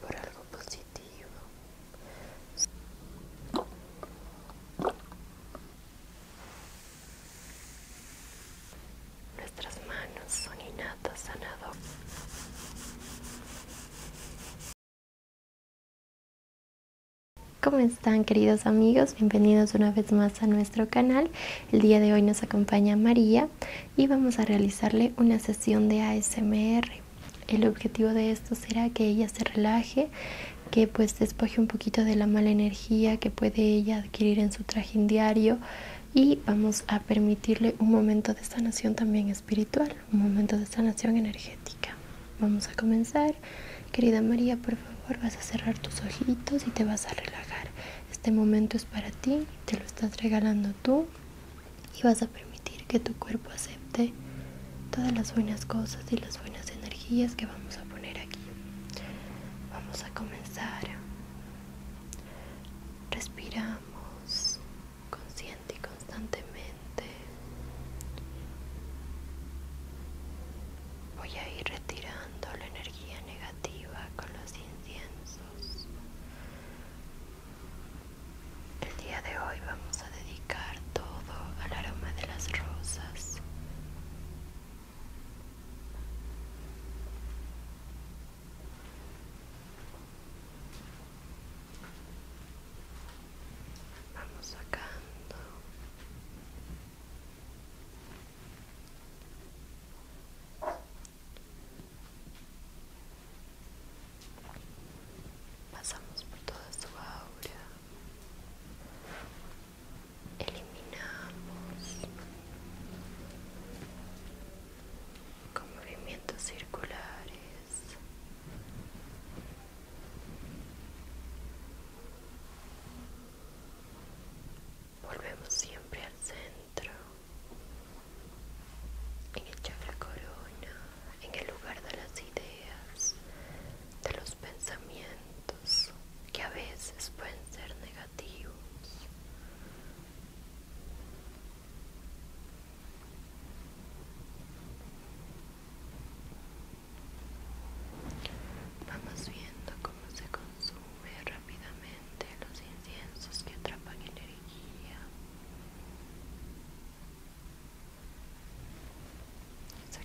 por algo positivo. Nuestras manos son innatas sanador ¿Cómo están queridos amigos? Bienvenidos una vez más a nuestro canal. El día de hoy nos acompaña María y vamos a realizarle una sesión de ASMR. El objetivo de esto será que ella se relaje, que pues despoje un poquito de la mala energía que puede ella adquirir en su traje diario y vamos a permitirle un momento de sanación también espiritual, un momento de sanación energética. Vamos a comenzar. Querida María, por favor, vas a cerrar tus ojitos y te vas a relajar. Este momento es para ti, te lo estás regalando tú y vas a permitir que tu cuerpo acepte todas las buenas cosas y las buenas energías que vamos a poner aquí. Vamos a comenzar. Respiramos consciente y constantemente. Voy a ir retirando la energía negativa con los inciensos. El día de hoy vamos a dedicar todo al aroma de las rosas. Vamos sacando Pasamos por toda su aura. Eliminamos con movimientos circulares. Volvemos siempre al centro en echar la corona, en el lugar de las ideas, de los pensamientos que a veces pueden ser negativos. Vamos viendo cómo se consume rápidamente los inciensos que atrapan el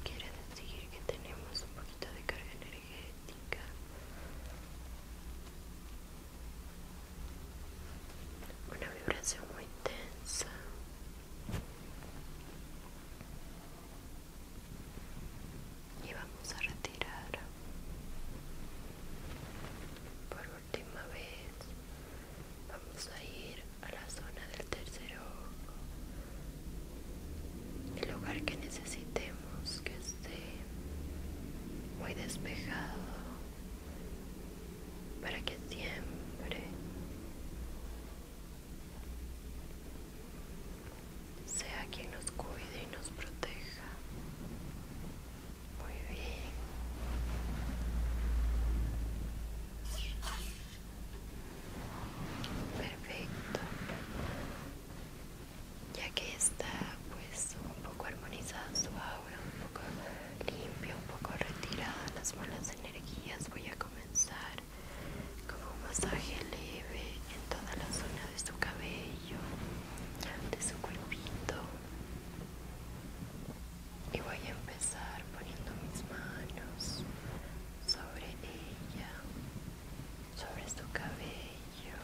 quiere decir que tenemos un poquito de carga energética. Una vibración muy intensa Y vamos a retirar última vez vamos a ir a la zona del tercer ojo el lugar que necesitemos que esté muy despejado para que siempre sea quien nos cuide y nos proteja muy bien. Perfecto. Ya que está pues un poco armonizada su aura, un poco limpia, un poco retirada las malas energías, voy a comenzar con un masaje leve en toda la zona de su cabello, de su cuerpito y voy a empezar poniendo mis manos sobre ella, sobre su cabello,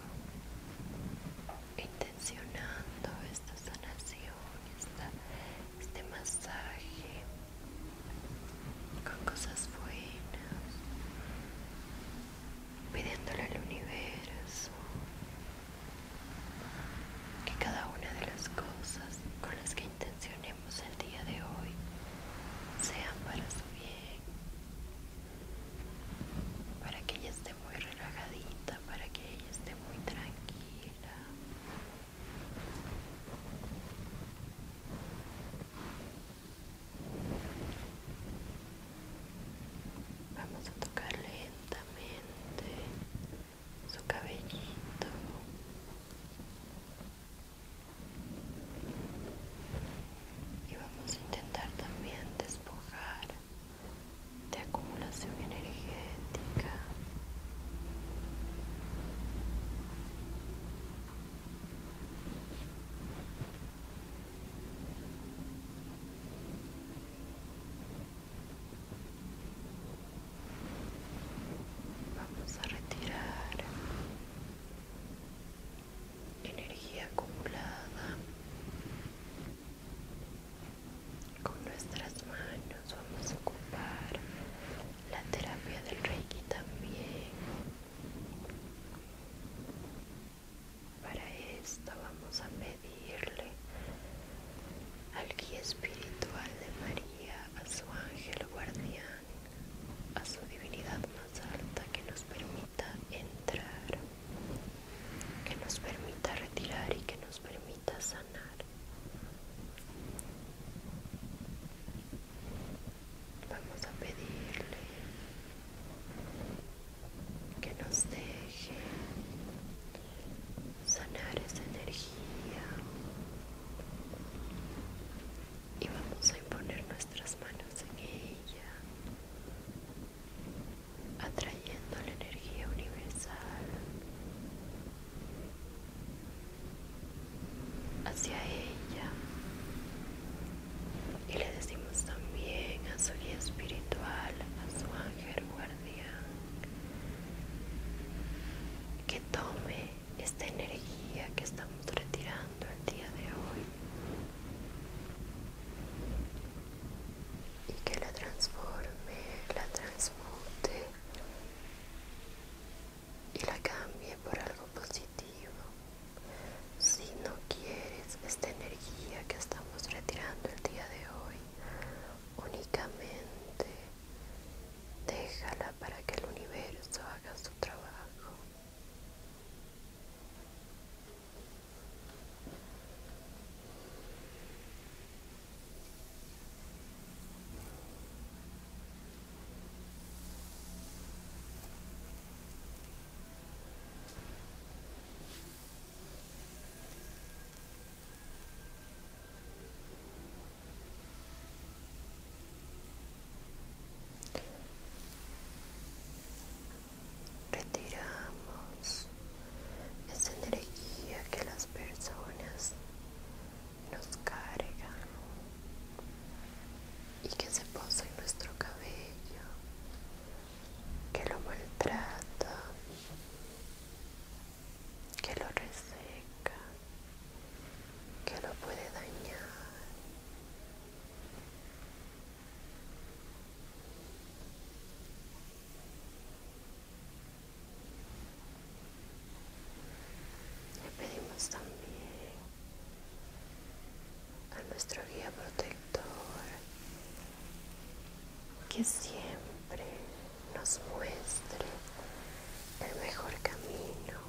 intencionando esta sanación, este masaje con cosas buenas, pidiéndole al universo que cada una de las cosas con las que intencionemos el día de hoy sean para su bien, para que ella esté muy relajadita, para que ella esté muy tranquila. Vamos a tocar lentamente su cabellito. Y vamos a intentar también despojar de acumulación energética. Vamos a retirar energía acumulada con nuestras manos. Vamos a ocupar la terapia del Reiki también. Para esto vamos a pedirle al guía espiritual de María, a su ángel guardián, a su divinidad más alta que nos permita entrar, que nos permita retirar y que nos permita sanar. Vamos a pedirle que nos deje sanar esa energía y vamos a imponer nuestras manos en ella atrayendo la energía universal hacia ella y le decimos también a su guía espiritual, a su ángel guardián, que tome esta energía que estamos retirando el día de hoy y que la transforme, la transmute y la cambie por algo positivo si no quieres esta energía que estamos retirando el día de hoy, únicamente déjala para que el universo haga su trabajo. Retiramos esa energía que las personas nos cargan y que se posa en nuestro cabello que lo maltrata, que lo reseca, que lo puede dañar. Le pedimos también a nuestro guía protector que siempre nos muestre el mejor camino,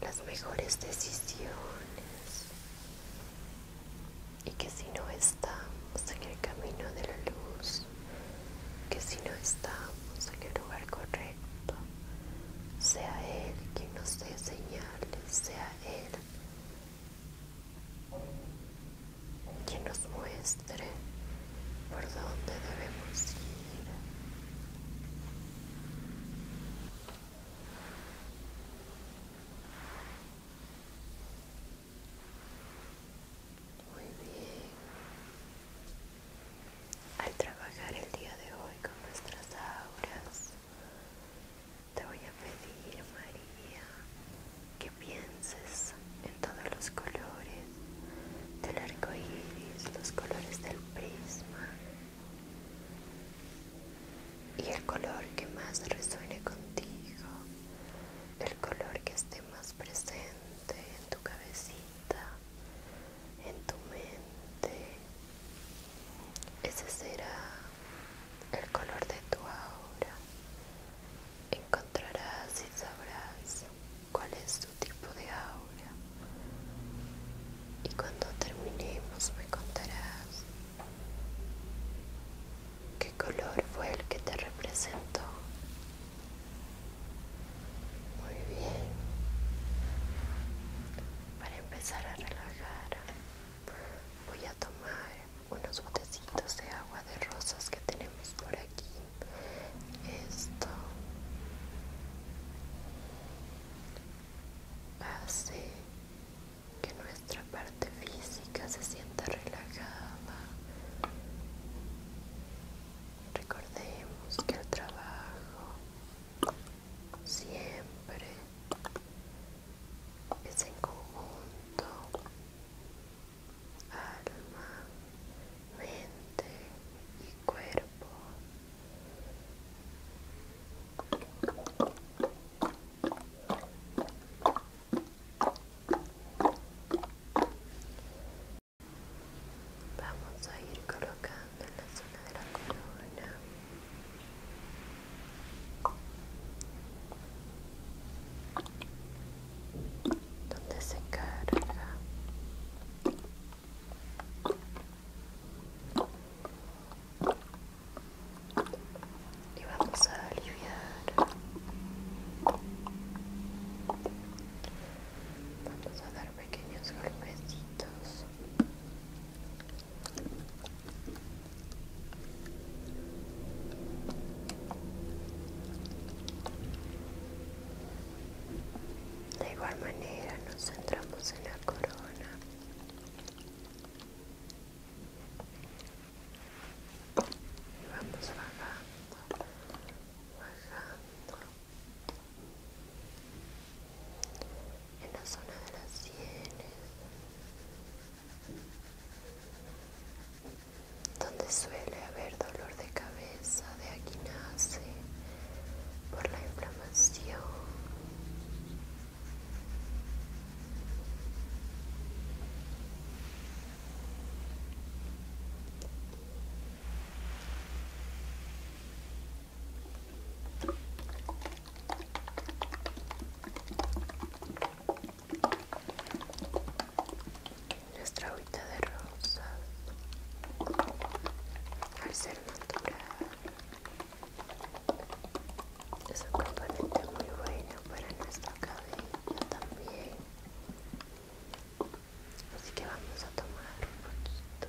las mejores decisiones y que si no estamos en el camino de la luz, que si no estamos en el lugar correcto, sea Él quien nos dé señales, sea Él quien nos muestre por dónde debemos ir. Muy bien. Al trabajar el día de hoy con nuestras auras, te voy a pedir, María, que pienses en todos los colores del arco iris, los colores del prisma y el color que más resuene contigo, el color que esté más presente en tu cabecita en tu mente. Ese será el color de tu aura. Encontrarás y sabrás cuál es tu tipo de aura. Y cuando terminemos me contarás qué color fue el que te representó. Muy bien para empezar a relajar voy a tomar unos botecitos de agua de rosas que tenemos por aquí esto hace que nuestra parte física se sienta relajada recordemos que el trabajo siempre es en conjunto alma, mente y cuerpo. Vamos a ir colocando en la zona de la corona. Donde se carga y vamos a aliviar, vamos a dar pequeños golpecitos de igual manera nos centramos en la corona. Y vamos bajando, bajando, en la zona de las sienes, donde suele haber dolor de cabeza, de aquí nace por la inflamación. Nuestra agüita de rosas, al ser natural, es un componente muy bueno para nuestra cabeza también así que vamos a tomar un poquito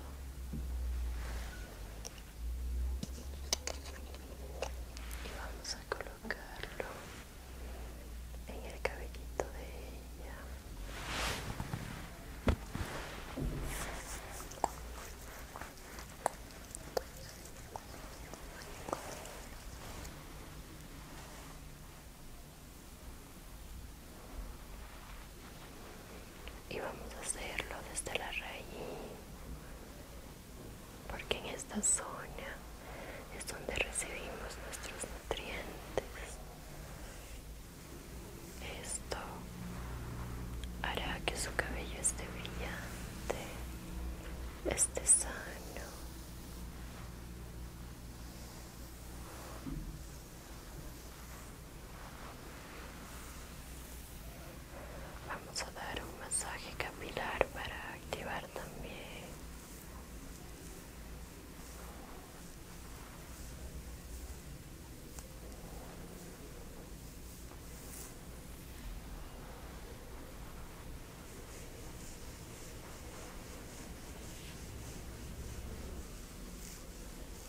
y vamos a colocarlo en el cabellito de ella y vamos a hacerlo desde la raíz porque en esta zona es donde recibimos nuestros nutrientes esto hará que su cabello esté brillante esté sano Vamos a dar un masaje capilar para activar también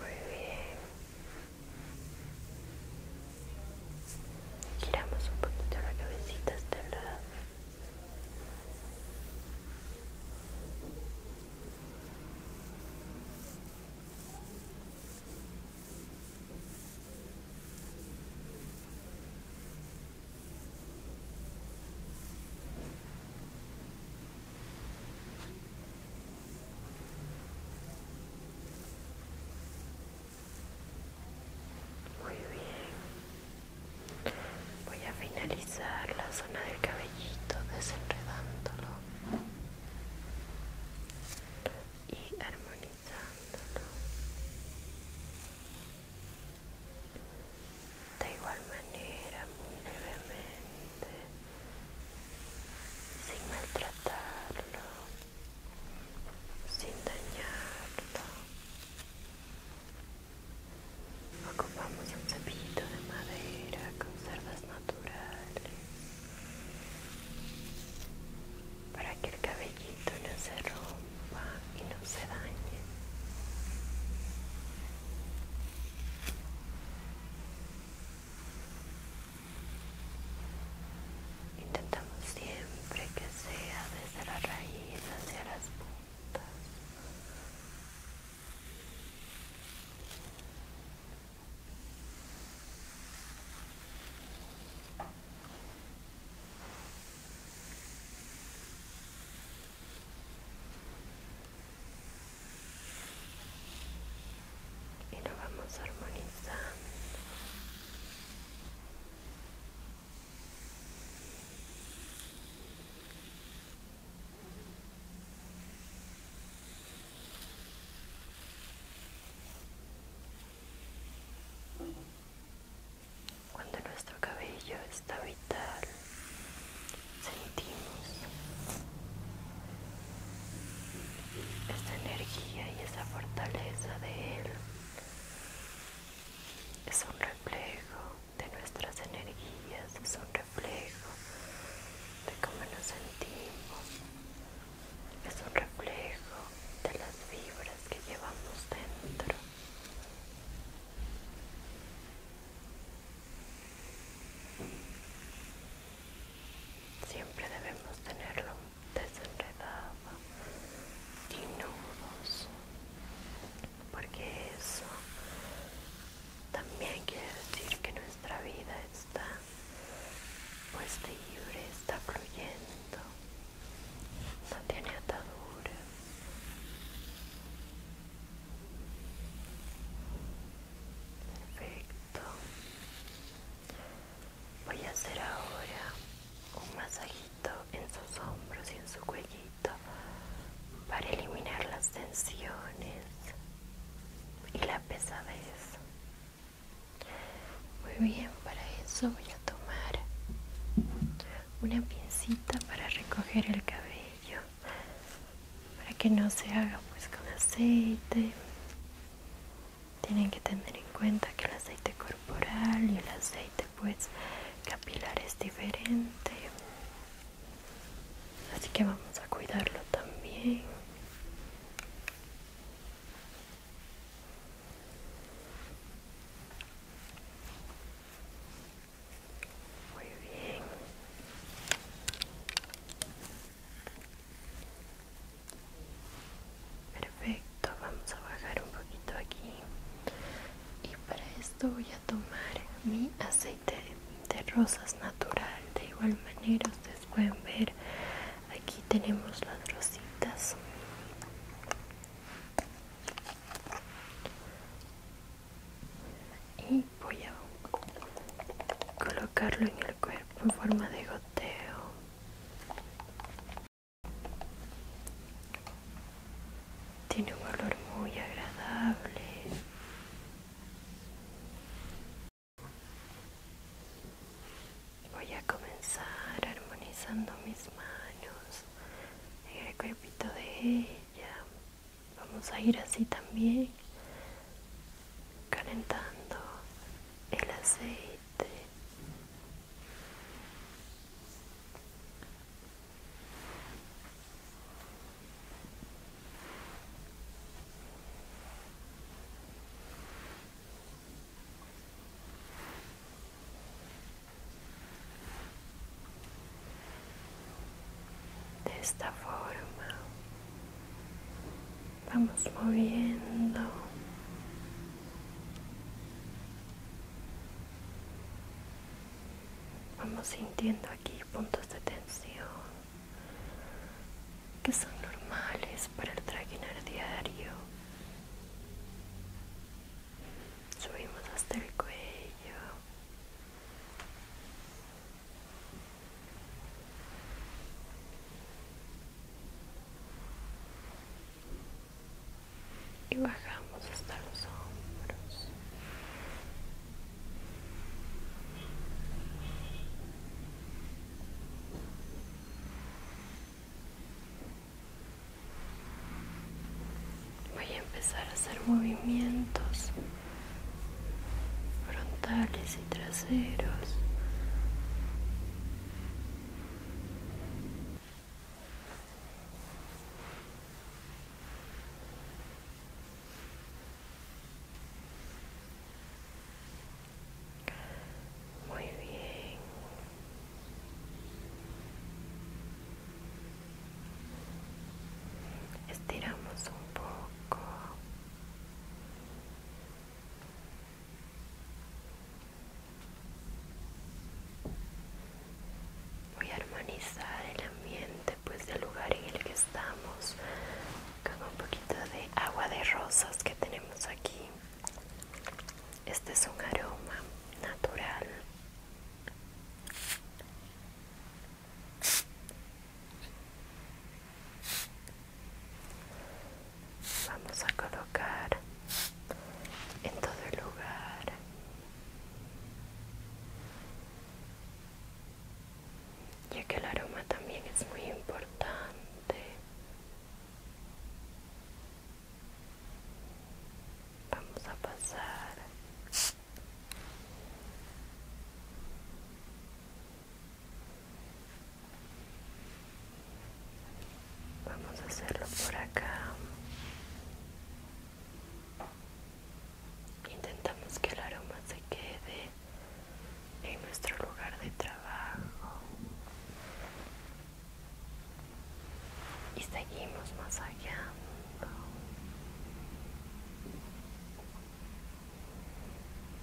Muy bien. Giramos un poquito la cabecita hasta este lado. Muy bien. Voy a finalizar la zona del cabellito desenredándolo y armonizándolo de igual manera muy levemente sin maltratarlo sin dañarlo ocupamos un cepillito de madera con cerdas naturales para que el cabellito no se rompa y no se dañe Intentamos siempre que sea desde la raíz hacia las puntas y lo vamos armonizando cuando nuestro cabello está vital, sentimos esta energía y esa fortaleza de él. Es un reflejo de nuestras energías, es un reflejo de cómo nos sentimos, es un reflejo de las vibras que llevamos dentro. Siempre debemos tenerlo desenredado y nudos, porque eso también quiere decir que nuestra vida está pues libre, está fluyendo, no tiene ataduras. Perfecto. Voy a hacer ahora un masajito en sus hombros y en su cuellito para eliminar las tensiones y la pesadez. Muy bien, para eso voy a tomar una pincita para recoger el cabello para que no se haga pues con aceite tienen que tener en cuenta que el aceite corporal y el aceite pues capilar es diferente así que vamos a cuidarlo también muy bien. Perfecto, vamos a bajar un poquito aquí. Y para esto voy a tomar mi aceite de rosas natural. De igual manera ustedes pueden ver aquí tenemos las rositas y voy a colocarlo en el cuerpo en forma de goteo tiene un olor muy agradable voy a comenzar armonizando mis manos en el cuerpito de ella vamos a ir así también calentando el aceite de esta forma vamos moviendo vamos sintiendo aquí puntos de tensión que son normales para el traquinar diario subimos hasta el cuello y bajamos hasta los hombros voy a empezar a hacer movimientos frontales y traseros Muy bien. Estiramos un poco. Voy a armonizar el ambiente, pues del lugar en el que estamos, con un poquito de agua de rosas que tenemos aquí. Este es un aroma natural Vamos a colocar en todo el lugar. Ya que el aroma también es muy importante. Vamos a pasar Vamos a hacerlo por acá. Intentamos que el aroma se quede en nuestro lugar de trabajo y seguimos más allá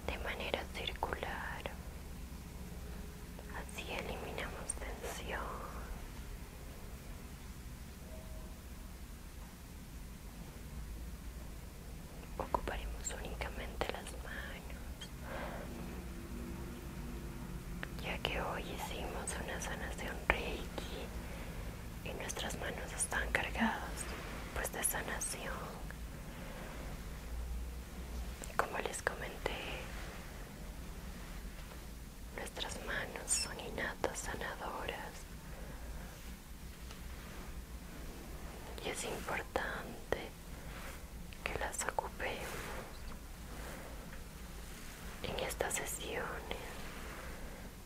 de manera circular así eliminamos tensión ocuparemos únicamente las manos ya que hoy hicimos una sanación reiki y nuestras manos están cargadas pues de sanación como les comenté nuestras manos son innatas sanadoras y es importante que las ocupemos en estas sesiones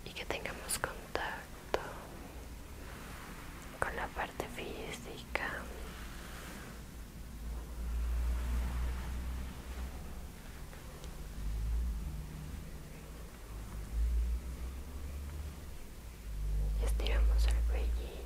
y que tengamos contacto con la parte física y estiramos el cuellito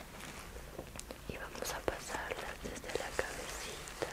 y vamos a pasarla desde la cabecita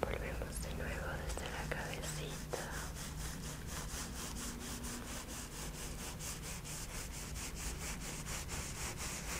Volvemos de nuevo desde la cabecita.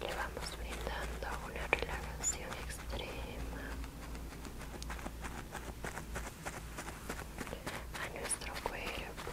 Le vamos brindando una relajación extrema a nuestro cuerpo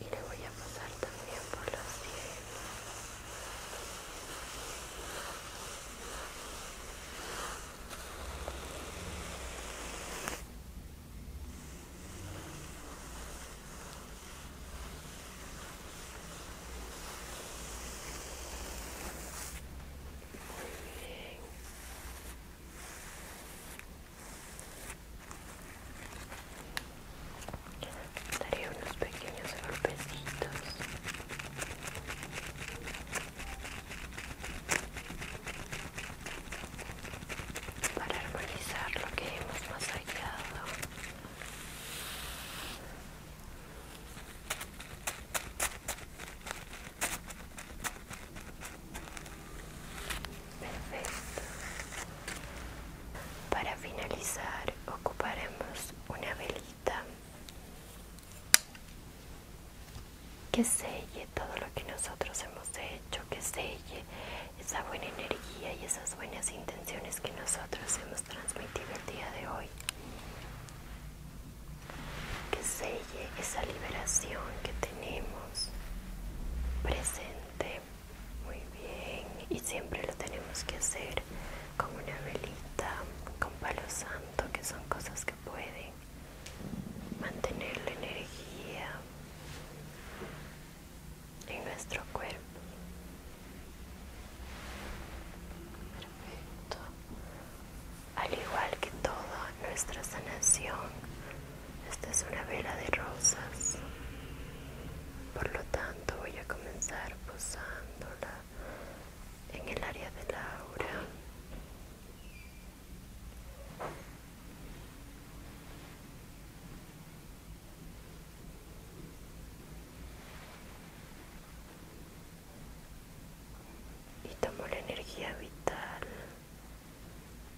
y le voy a pasar también por los cielos muy bien Daré unos pequeños golpecitos. Para armonizar lo que hemos masacrado. Perfecto. Para finalizar ocuparemos una velita que selle todo lo que nosotros hemos hecho, que selle esa buena energía y esas buenas intenciones que nosotros hemos transmitido el día de hoy. Que selle esa liberación que tenemos presente muy bien y siempre lo tenemos que hacer con una velita con palo santo que son cosas que pueden mantener la energía en nuestro cuerpo perfecto al igual que toda nuestra sanación esta es una vela de rosas por lo tanto, voy a comenzar posándola en el área de la aura. Y tomo la energía vital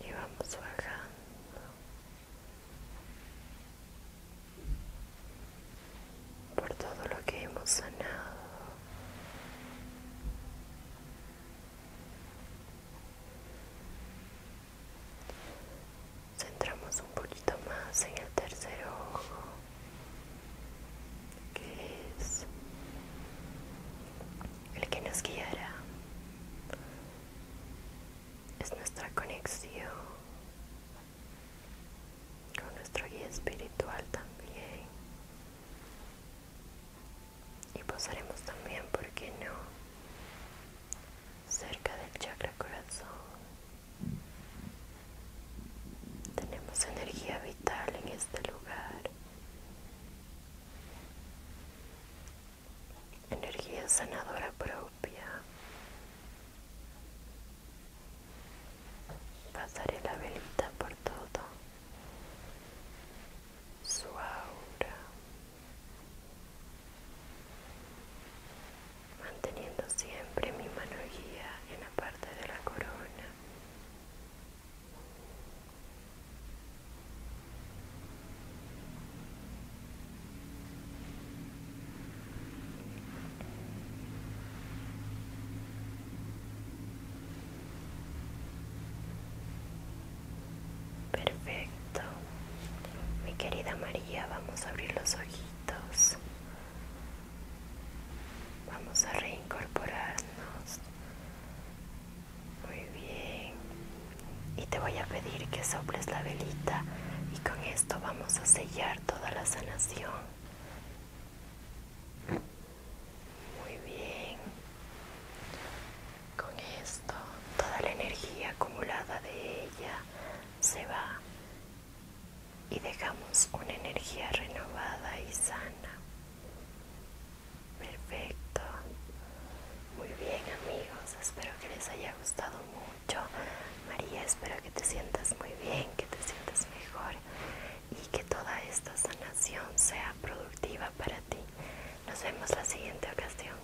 y vamos bajando por todo lo que hemos sanado centramos un poquito más en el tercer ojo que es el que nos guiará es nuestra conexión con nuestro guía espiritual también y posaremos también por qué no cerca del chakra corazón tenemos energía vital en este lugar. Energía sanadora propia. Pasaré la velita por todo. Su aura manteniendo siempre mi mano guía en la parte de la corona. Perfecto. Mi querida María, vamos a abrir los ojitos. Vamos a reincorporarnos. Muy bien. Y te voy a pedir que soples la velita y con esto vamos a sellar toda la sanación. Muy bien. Con esto toda la energía acumulada de ella se va y dejamos una energía renovada y sana. Perfecto. Muy bien amigos, espero que les haya gustado mucho. María, espero que te sientas muy bien, que te sientas mejor y que toda esta sanación sea productiva para ti. Nos vemos la siguiente ocasión.